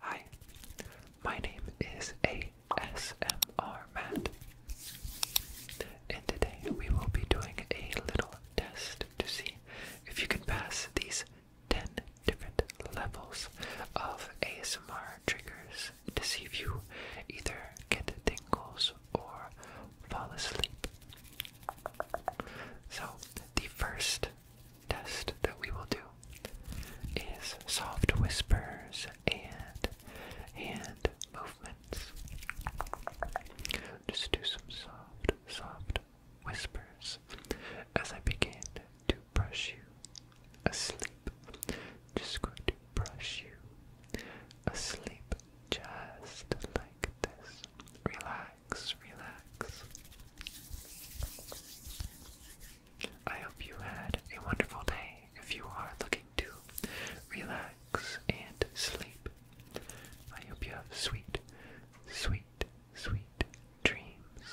Hi, my name is ASMR Matt, and today we will be doing a little test to see if you can pass these 10 different levels of ASMR triggers to see if you either get tingles or fall asleep. So, the first test that we will do is soft whispers and and movements. Just do some soft, soft whispers as I begin to brush you asleep. Just going to brush you asleep just like this. Relax, relax. I hope you had a wonderful day if you are looking to relax and sleep. I hope you have sweet, sweet, sweet dreams.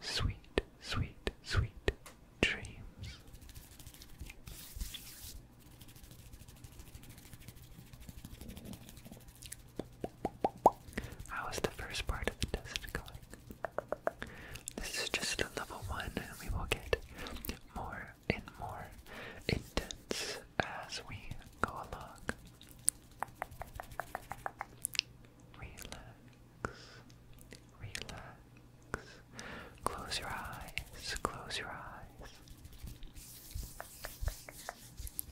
Sweet, sweet, sweet dreams. How is the first part of the test going? This is just a level one, and we will get more and more intense as we go along. Relax, relax. Close your eyes, close your eyes.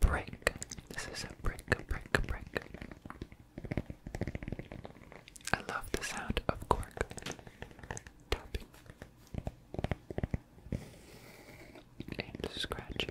break. This is a break, brick, break. I love the sound of cork tapping and scratching.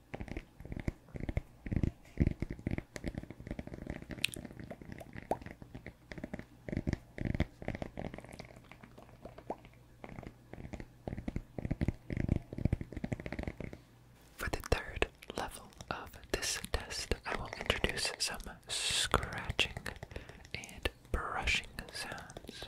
For the third level of this test, I will introduce some scratching and brushing sounds.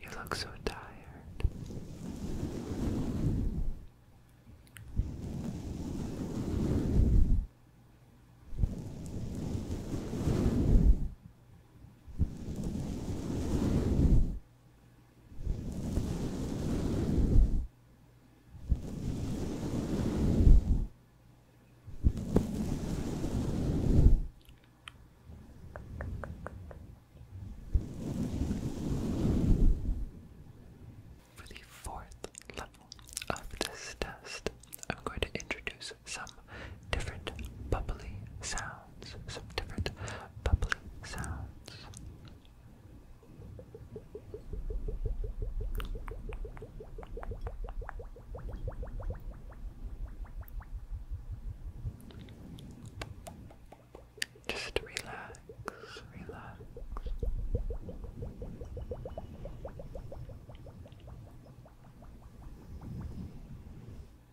You look so tired. For the fourth level of this test, I'm going to introduce some different bubbly sounds some different bubbling sounds. Just relax, relax.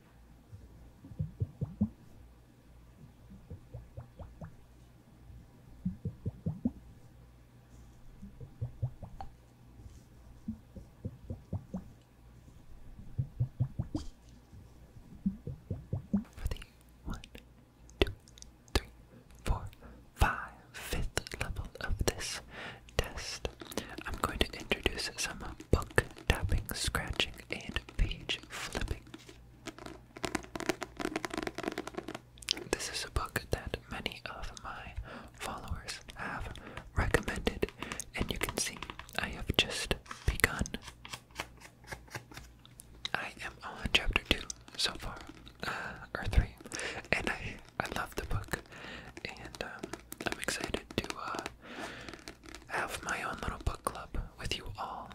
For the one, two, three, four, five, fifth level of this test, I'm going to introduce some book tapping, scratching, and page flipping this is a book that many of my followers have recommended, and you can see I have just begun. I am on chapter 2 so far, uh, or 3, and I, I love the book, and um, I'm excited to uh, have my own little book club with you all.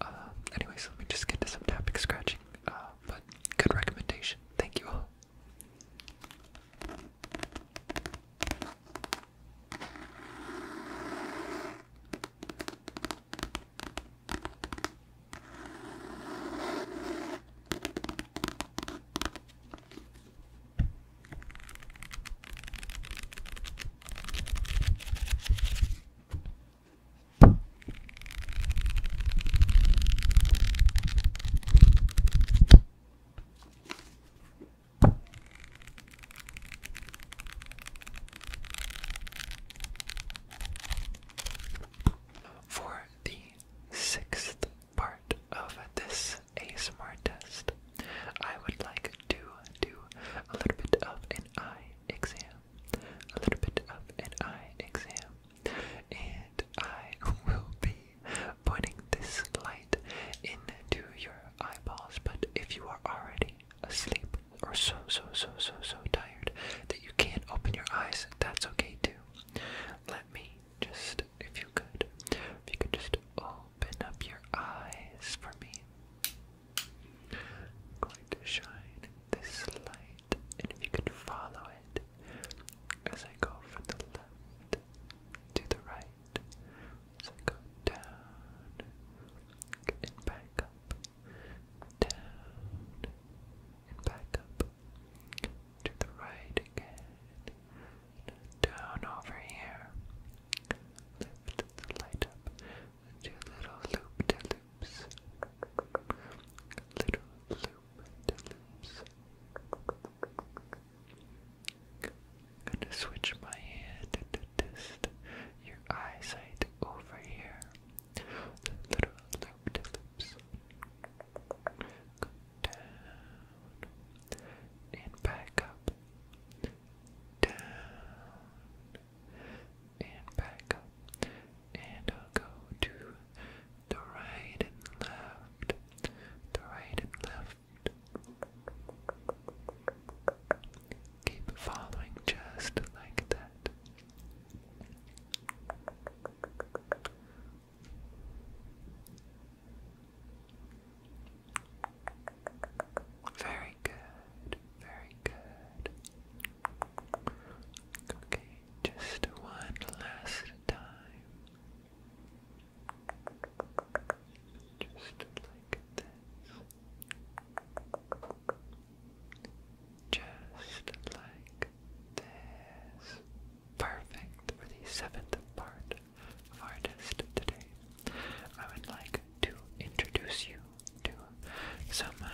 Uh, anyways, let me just get to some tapping scratching. Uh, but good recommendation. Thank you for the sixth part of this a smart test, I would like to do a little bit of an eye exam. A little bit of an eye exam. And I will be putting this light into your eyeballs, but if you are already asleep or so, so, so, so, so tired that you can't open your eyes, that's okay too. Let me just, if you could, if you could just. Oh, Open up your eyes for me. I'm going to shine this light, and if you could follow it as I go from the left to the right, as I go down and back up, down and back up, to the right again, down over here. Lift the light up. Do little loop de loops. Little loop de loops. gonna switch my hand to test your eyesight over here. Little loop de loops. down, down and back up, down and back up, and I'll go to the right and left, the right and left. Keep following just like that. Very good, very good. Okay, just one last time. Just like this. Just like this. Perfect for the seventh part artist today, I would like to introduce you to some uh,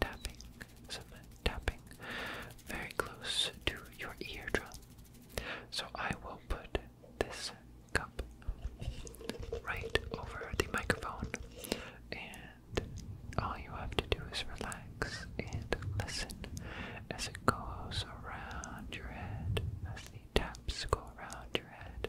tapping, some tapping very close to your eardrum. So I will put this cup right over the microphone, and all you have to do is relax and listen as it goes around your head taps go around your head.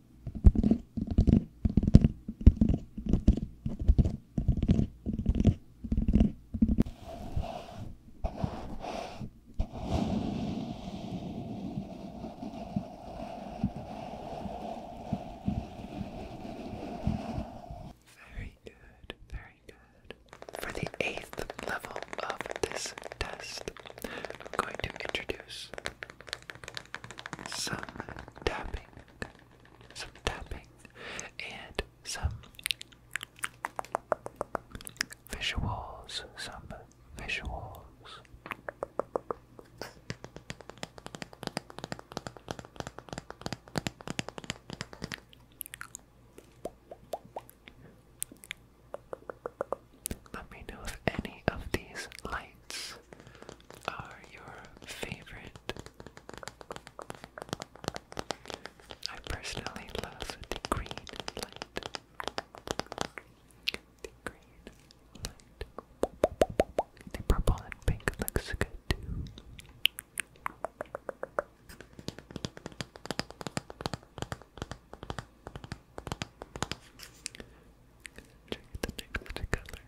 Very good, very good. For the eighth level of this test, I'm going to introduce some tapping, some tapping, and some visuals, some visuals. Let me know if any of these lights are your favorite? I personally love the green light. The green light. The purple and pink looks good too. Check the next color. The next color.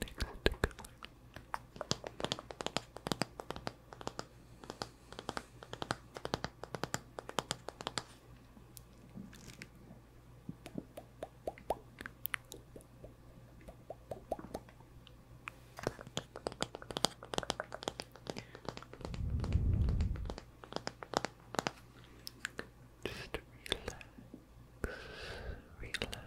Next just relax, relax.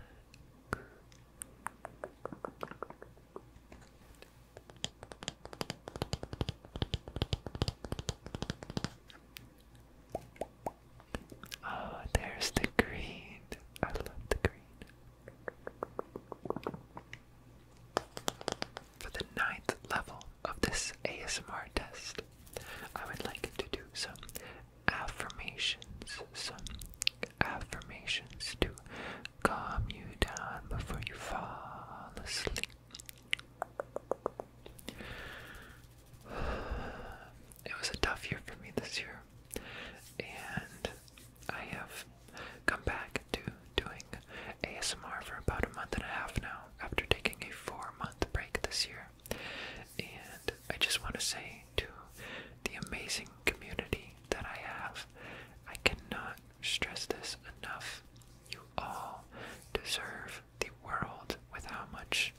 Oh, there's the green. I love the green for the ninth level of this ASMR test, I would like to do some affirmations, some affirmations to calm you down before you fall asleep. It was a tough year for me this year, and I have come back to doing ASMR for about a month and a half now after taking a four month break this year. And I just want to say to the amazing community that I have, I cannot stress this enough. You all deserve the world with how much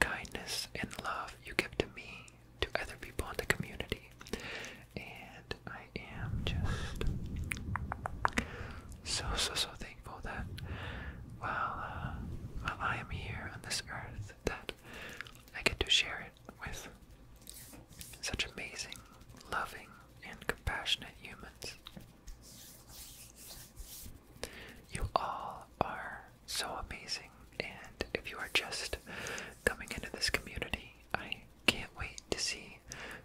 kindness and love you give to me, to other people in the community. And I I am just so, so, so thankful that while, uh, while I am here on this earth, that I get to share it with such amazing, loving, and compassionate humans. You all are so amazing, and if you are just coming into this community, I can't wait to see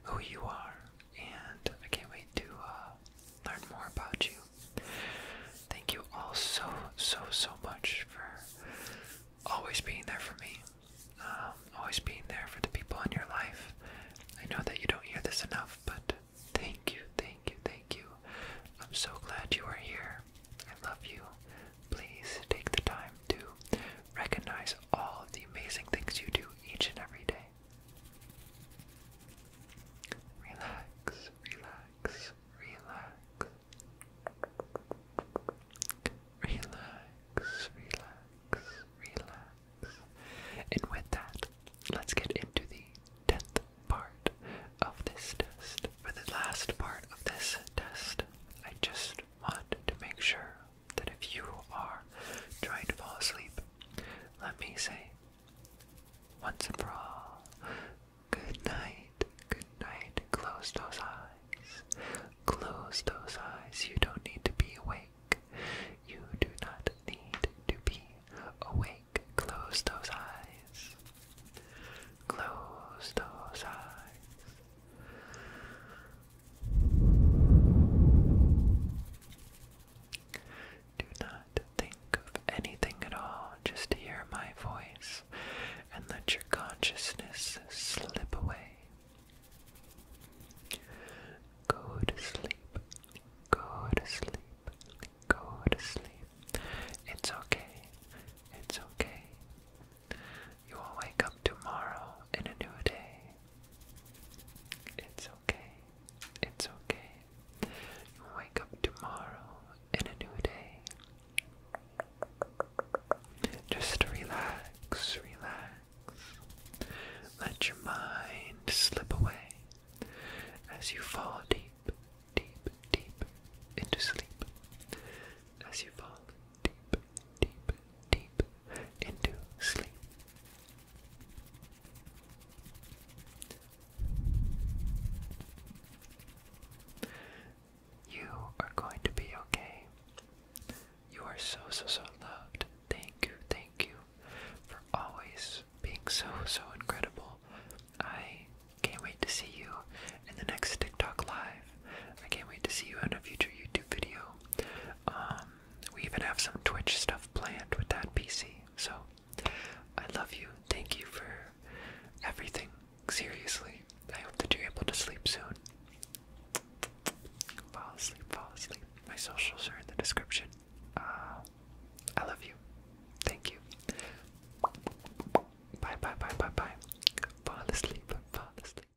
who you are and I can't wait to uh, learn more about you. Thank you all so, so, so much for always being there for me, um, always being there for the people in your life. I know that you don't hear this enough, but thank you, thank you, thank you. I'm so glad you are here. I love you. Please take the time to recognize all of the amazing things you do each and every day. Relax, relax, relax. Relax, relax, relax. And with that, let's get into the 10th part of this test. For the last part of this test, I just want to make sure that if you are trying to fall asleep, let me say once and for all, good night, good night, close those eyes, close those eyes, you don't need to be awake, you do not need to be awake, close those eyes, close those eyes. Do not think of anything at all, just hear my voice and let your consciousness slip away. Go to sleep, go to sleep, go to sleep. It's okay, it's okay. You will wake up tomorrow in a new day. It's okay. It's okay. You will wake up tomorrow in a new day. Just relax, relax. Let your mind slip away as you fall deep, deep, deep into sleep. As you fall deep, deep, deep into sleep. You are going to be okay. You are so, so, so loved. Thank you, thank you for always being so, so incredible. I can't wait to see you in the next TikTok Live. I can't wait to see you in a future YouTube video. Um, we even have some Twitch stuff planned with that PC. So, I love you. Thank you for everything. Seriously, I hope that you're able to sleep soon. Fall asleep, fall asleep. My socials are in the description. Uh, I love you. Thank you. Bye, bye, bye, bye, bye. Fall asleep, fall asleep.